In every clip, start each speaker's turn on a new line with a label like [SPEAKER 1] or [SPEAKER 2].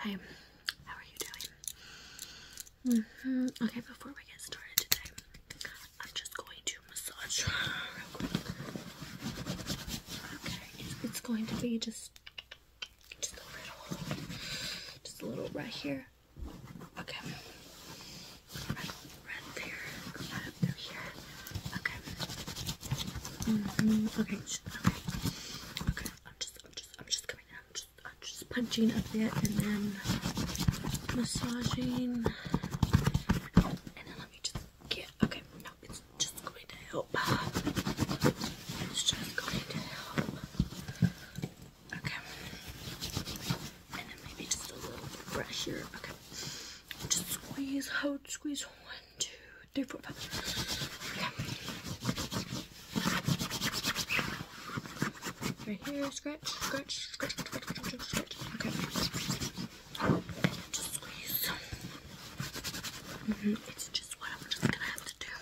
[SPEAKER 1] Hey, how are you doing? Mm hmm Okay, before we get started today, I'm just going to massage real quick. Okay, it's going to be just just a little, just a little right here. Okay. Right, right there, right up through here. Okay. Mm -hmm. Okay. Okay. Okay. I'm just I'm just, I'm just coming out, just, just punching a bit, and then massaging. And then let me just get, okay, no, it's just going to help. It's just going to help. Okay. And then maybe just a little bit Okay. Just squeeze, hold, squeeze, hold two, three, four, five. Okay. Right here, scratch, scratch, scratch, scratch, scratch, Okay. Just squeeze. Mm -hmm. It's just what I'm just gonna have to do.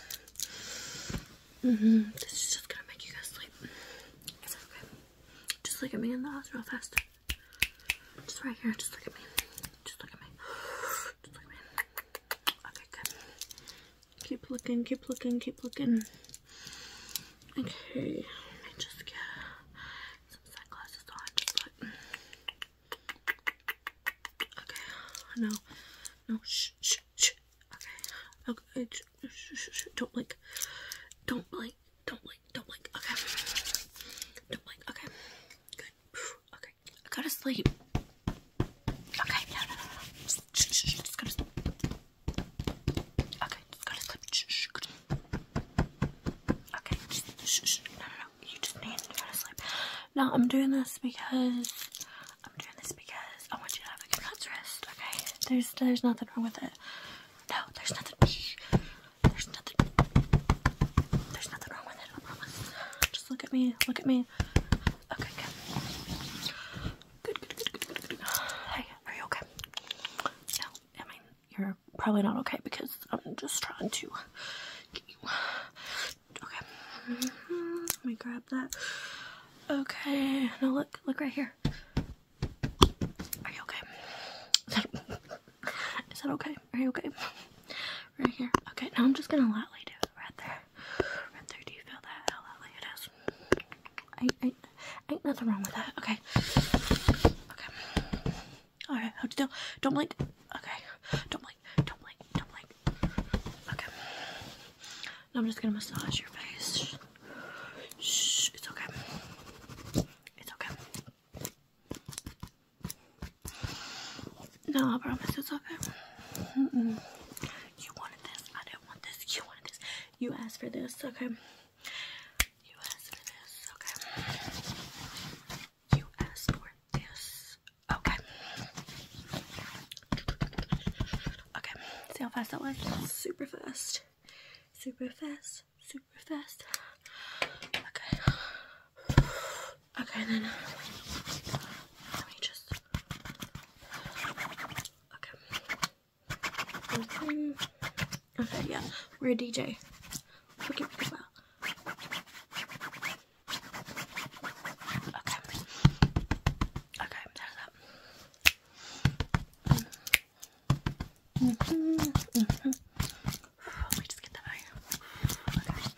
[SPEAKER 1] Mm hmm This is just gonna make you guys sleep. Is that okay? Just look at me in the eyes real fast. Just right here, just look at me. Just look at me. Just look at me. Okay, good. Keep looking, keep looking, keep looking. Okay, let me just get some sunglasses on. okay, no, no, shh, shh, shh. Okay, okay, don't blink, don't blink, don't blink, don't blink. Okay, don't blink. Okay, good. Okay, Okay, I gotta sleep. Okay, no, no, no, Just, shh, to sleep. Okay, just gotta sleep. Shh, shh, gotta... Okay, shh, no, no, no. You just need to go to sleep. No, I'm doing this because I'm doing this because I want you to have a good night's rest. Okay, there's there's nothing wrong with it. No, there's nothing. There's nothing. There's nothing wrong with it. I promise. Just look at me. Look at me. Okay, good. Good, good, good, Hey, are you okay? No, I mean, you're probably not okay because I'm just trying to get you. Okay. Let me grab that. Okay, now look, look right here. Are you okay? Is that okay? Are you okay? Right here. Okay, now I'm just gonna lightly do it right there. Right there. Do you feel that? How lightly it is? Ain't, nothing wrong with that. Okay. Okay. Alright, hold still. Don't blink. Okay. Don't blink. Don't blink. Don't blink. Okay. Now I'm just gonna massage your face. It's okay. It's okay. No, I promise it's okay. You wanted this. I didn't want this. You wanted this. You asked for this. Okay. You asked for this. Okay. You asked for this. Okay. Okay. See how fast that was? Super fast. Super fast. Super fast. Okay. Okay, then let me just. Okay. Mm-hmm. Okay, yeah, we're a DJ. Forget Okay. Okay, there's that. -hmm, -hmm. Let oh, me just get that out. Okay.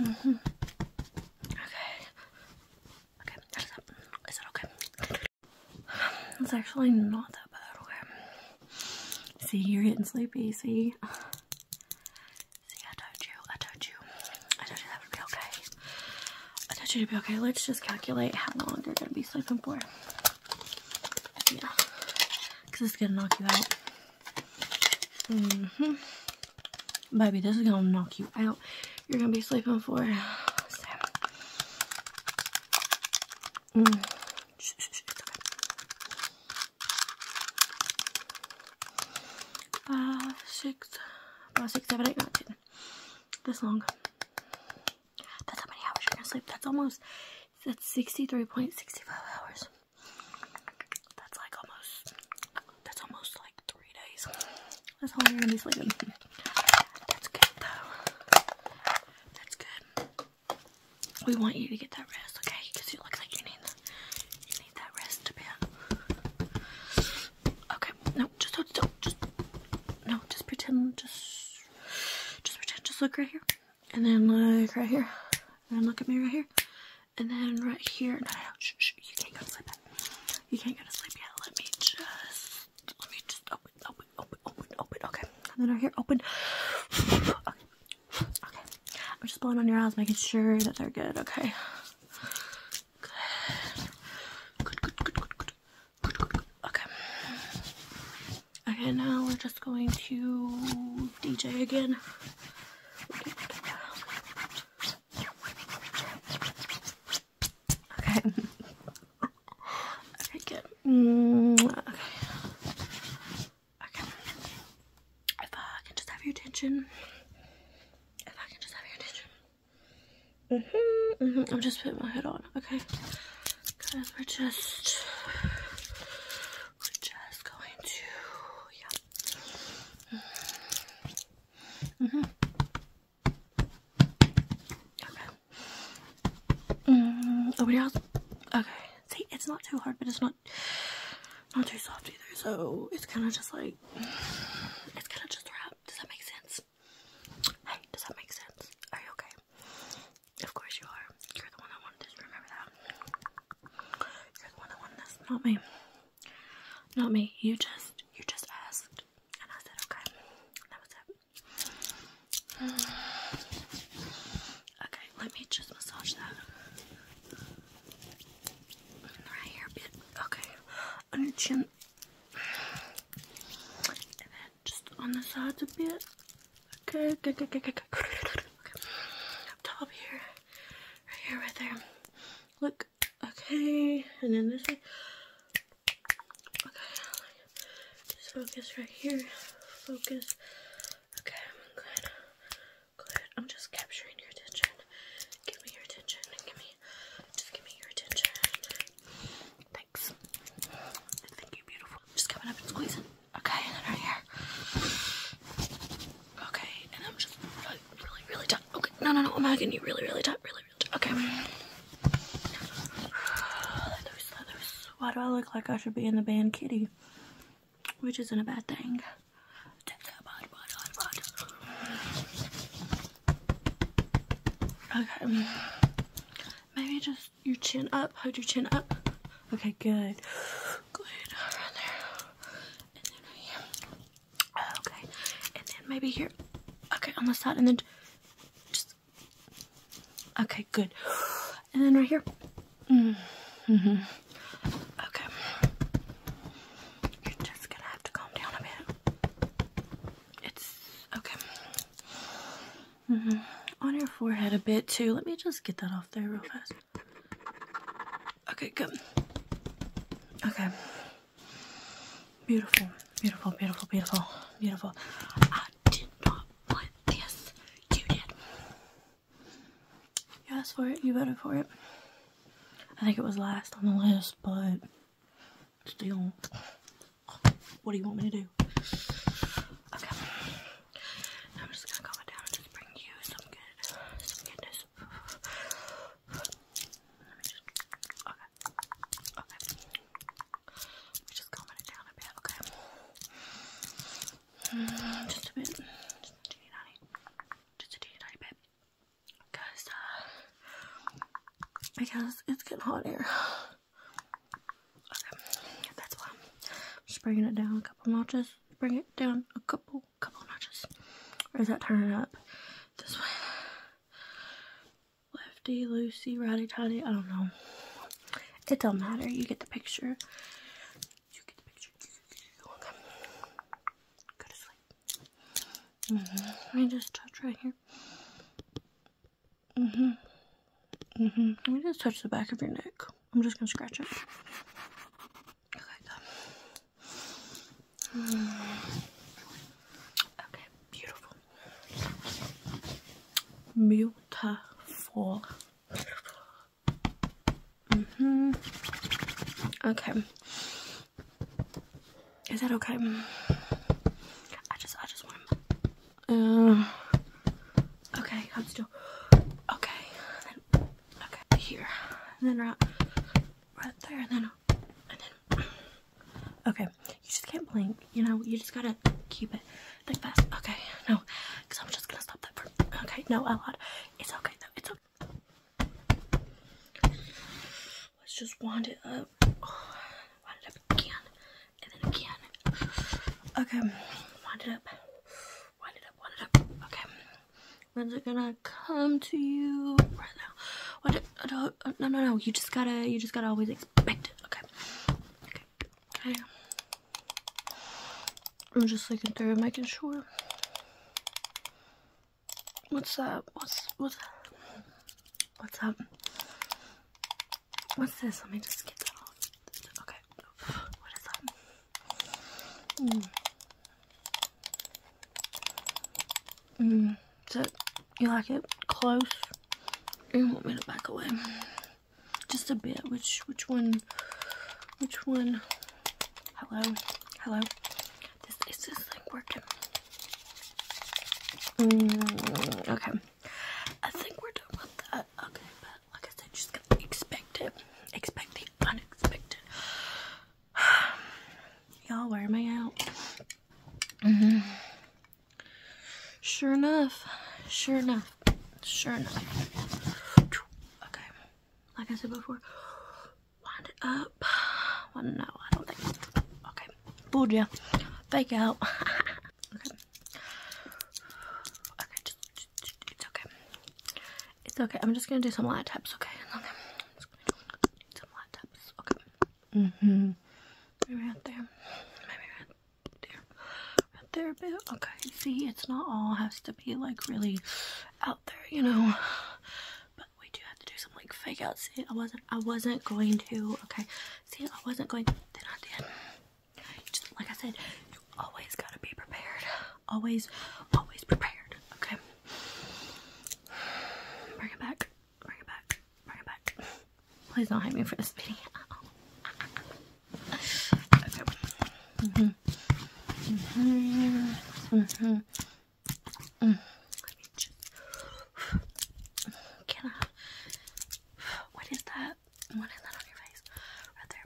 [SPEAKER 1] Mm -hmm. Okay. Okay, that is up. Is that okay? It's actually not that bad, okay? See, you're getting sleepy, see? See, I told you, I told you. I told you that would be okay. I told you to be okay. Let's just calculate how long you're gonna be sleeping for. Yeah. Cause it's gonna knock you out. Mm-hmm. Baby, this is gonna knock you out. You're gonna be sleeping for seven. This long. That's how many hours you're gonna sleep. That's almost that's 63.65 hours. That's like almost, that's almost like three days. That's how long you're gonna be sleeping. That's good though. That's good. We want you to get that rest, okay? Because you look like you need, you need that rest a bit. Okay, no, just hold still. no, just pretend, just, just pretend, just look right here and then like right here, and then look at me right here, and then right here. No, no, no shh, shh, you can't go to sleep yet. You can't go to sleep yet. Let me just, let me just open, open, open, open, open. Okay, and then right here, open. okay, okay. I'm just blowing on your eyes, making sure that they're good. Okay. Good, good, good, good, good, good, good, good. Okay. Okay, now we're just going to DJ again. Okay. okay, good. Mm, okay. I just have your attention. If I can just have your attention. hmm hmm I'm just putting my head on, okay? Because we're just we're just going to, yeah. Mm -hmm. Okay. Mm, nobody else? Okay. See, it's not too hard, but it's not not too soft either. So it's kind of just like it's kind of just wrap. Does that make sense? Hey, does that make sense? Are you okay? Of course you are. You're the one that wanted this. Remember that. You're the one that won this, not me. Not me. You just, you just asked, and I said okay. That was it. Okay, let me just massage that right here a bit. Okay, on your chin, and then just on the sides a bit. Good, good, good, good, good, good. Okay. Up top here, right here, right there. Look, okay, and then this way. Okay, just focus right here. Focus. Okay, good, good. I'm just capturing your attention. Give me your attention. Give me, just give me your attention. Thanks. Thank you, beautiful. Just coming up and squeezing. Okay, and then right here. Okay, and I'm just really, really, really tight. Okay, no, no, no, I'm hugging you really, really tight, really, really tight. Okay. Why do I look like I should be in the band Kitty? Which isn't a bad thing. Okay. Um, maybe just your chin up. Hold your chin up. Okay, good. Good, around there. And then right here. Okay. And then maybe here. Okay, on the side. And then just. Okay, good. And then right here. Mm hmm. Okay. You're just gonna have to calm down a bit. It's. Okay. Mm hmm. On your forehead a bit too. Let me just get that off there real fast. Okay, good. Okay. Beautiful, beautiful, beautiful, beautiful, beautiful. I did not want this. You did. You asked for it, you voted for it. I think it was last on the list, but still. What do you want me to do? Okay. I'm just gonna calm it down and just bring you some good, some goodness. just, okay, okay. Let me just calm it down a bit, okay? just a bit, just a teeny tiny, just a teeny tiny bit. Because, uh, because it's getting hot here. Okay, that's why I'm just bringing it down a couple notches bring it down a couple, couple notches. Or is that turning up? This way. Lefty, loosey, righty, tighty, I don't know. It don't matter, you get the picture. You get the picture. Go to sleep. Mm-hmm. Let me just touch right here. hmm hmm Let me just touch the back of your neck. I'm just gonna scratch it. Okay, mm. beautiful. Beautiful. Mm hmm Okay. Is that okay? I just I just want to uh, Okay, I'm still. Okay, then, okay, here, and then right, right there, and then, and then. Okay, you just can't blink. You know, you just gotta keep it thick fast. Okay, no, because I'm just gonna stop that for. Okay, no, I lied. It's okay though. It's okay. Let's just wand it up. Oh, wand it up again, and then again. Okay, wand it up. Wind it up, wind it up. Okay. When's it gonna come to you right now? What? Uh, no, no, no. You just gotta, you just gotta always expect it. Okay. Okay. Okay. I'm just looking through making sure. What's that? What's what's what's up? What's this? Let me just get that off. Okay. What is that? Mm. Mm. So you like it close? You want me to back away? Just a bit. Which which one? Which one? Hello, hello. This is like working? Mm, okay. I think we're done with that. Uh, okay, but like I said, just expect it. Expect the unexpected. Y'all, where am I out? Mm-hmm. Sure enough. Sure enough. Sure enough. Okay. Like I said before, wind it up. no, I don't think. Okay. Fooled Fake out. okay. Okay, it's okay. It's okay. I'm just gonna do some light taps, okay? Okay. Some light taps, okay. Mm hmm Maybe right there. Maybe right there. Right there a bit. Okay. See, it's not all has to be like really out there, you know. But we do have to do some like fake out. See, I wasn't I wasn't going to okay. See I wasn't going to then I did. You just, like I said, you always gotta be prepared. Always, always prepared. Okay. Bring it back. Bring it back. Bring it back. Please don't hate me for this video. Uh-uh. Okay. Mhm. Mhm. Mhm. Let me just. Can I? What is that? What is that on your face? Right there.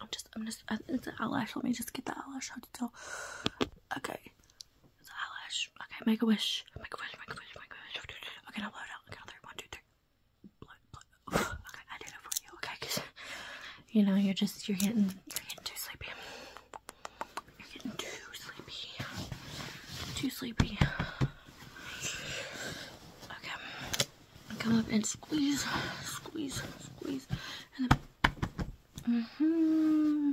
[SPEAKER 1] I'm just, I'm just, uh, it's an eyelash. Let me just get the eyelash hard to tell. Okay. It's an eyelash. Okay, make a wish. Make a wish, make a wish, make a wish. Okay, now blow it out. Okay, now three, one, two, three. Blow, blow. Okay, I did it for you. Okay, because, you know, you're just, you're getting, you're getting too sleepy. You're getting too sleepy. Too sleepy. Okay come up and squeeze, squeeze, squeeze, and then, mm-hmm,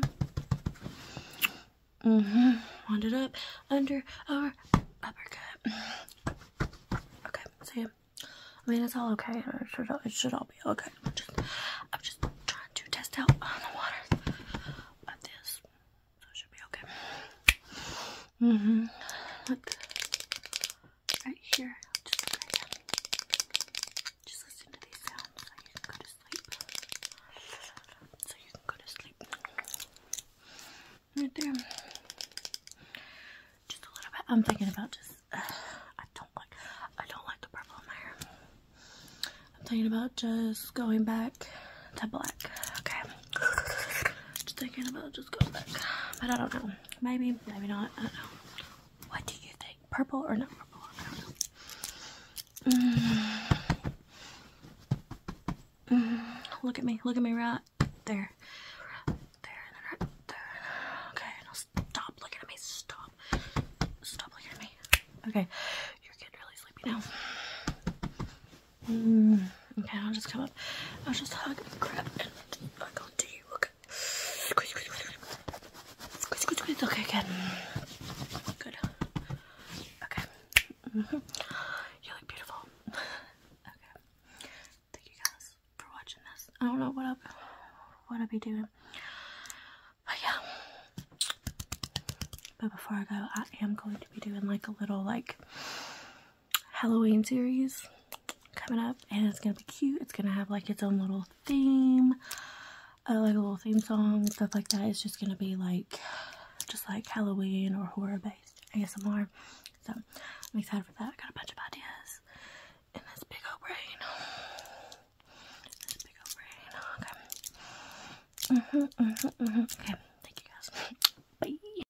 [SPEAKER 1] mm-hmm, wand it up, under, our uppercut. Okay, see, I mean, it's all okay, it should all, be okay. I'm just, trying to test out on the water, but this, should be okay. Mm hmm Right here. Just right listen to these sounds so you can go to sleep. So you can go to sleep. Right there. Just a little bit. I'm thinking about just uh, I don't like I don't like the purple in my hair. I'm thinking about just going back to black. Okay. Just thinking about just going back. But I don't know. Maybe, maybe not. I don't know. What do you think? Purple or not purple? I don't know. Mm. Mm. Look at me. Look at me right there. there and then right there. Okay, stop looking at me. Stop. Stop looking at me. Okay, you're getting really sleepy now. Mm, okay, I'll just come up. I'll just hug the crap and I'll go to you. Okay. Squeeze, Okay, good. Good. Okay. Mm-hmm. You look beautiful. okay. Thank you guys for watching this. I don't know what up what I'll be doing. But yeah. But before I go, I am going to be doing like a little like Halloween series coming up and it's gonna be cute. It's gonna have like its own little theme, uh, like a little theme song, stuff like that. It's just gonna be like just like Halloween or horror based I guess more. So I'm excited for that. I got a bunch of ideas in this big old brain. Okay. -hmm, -hmm, -hmm. Okay. Thank you guys. Bye.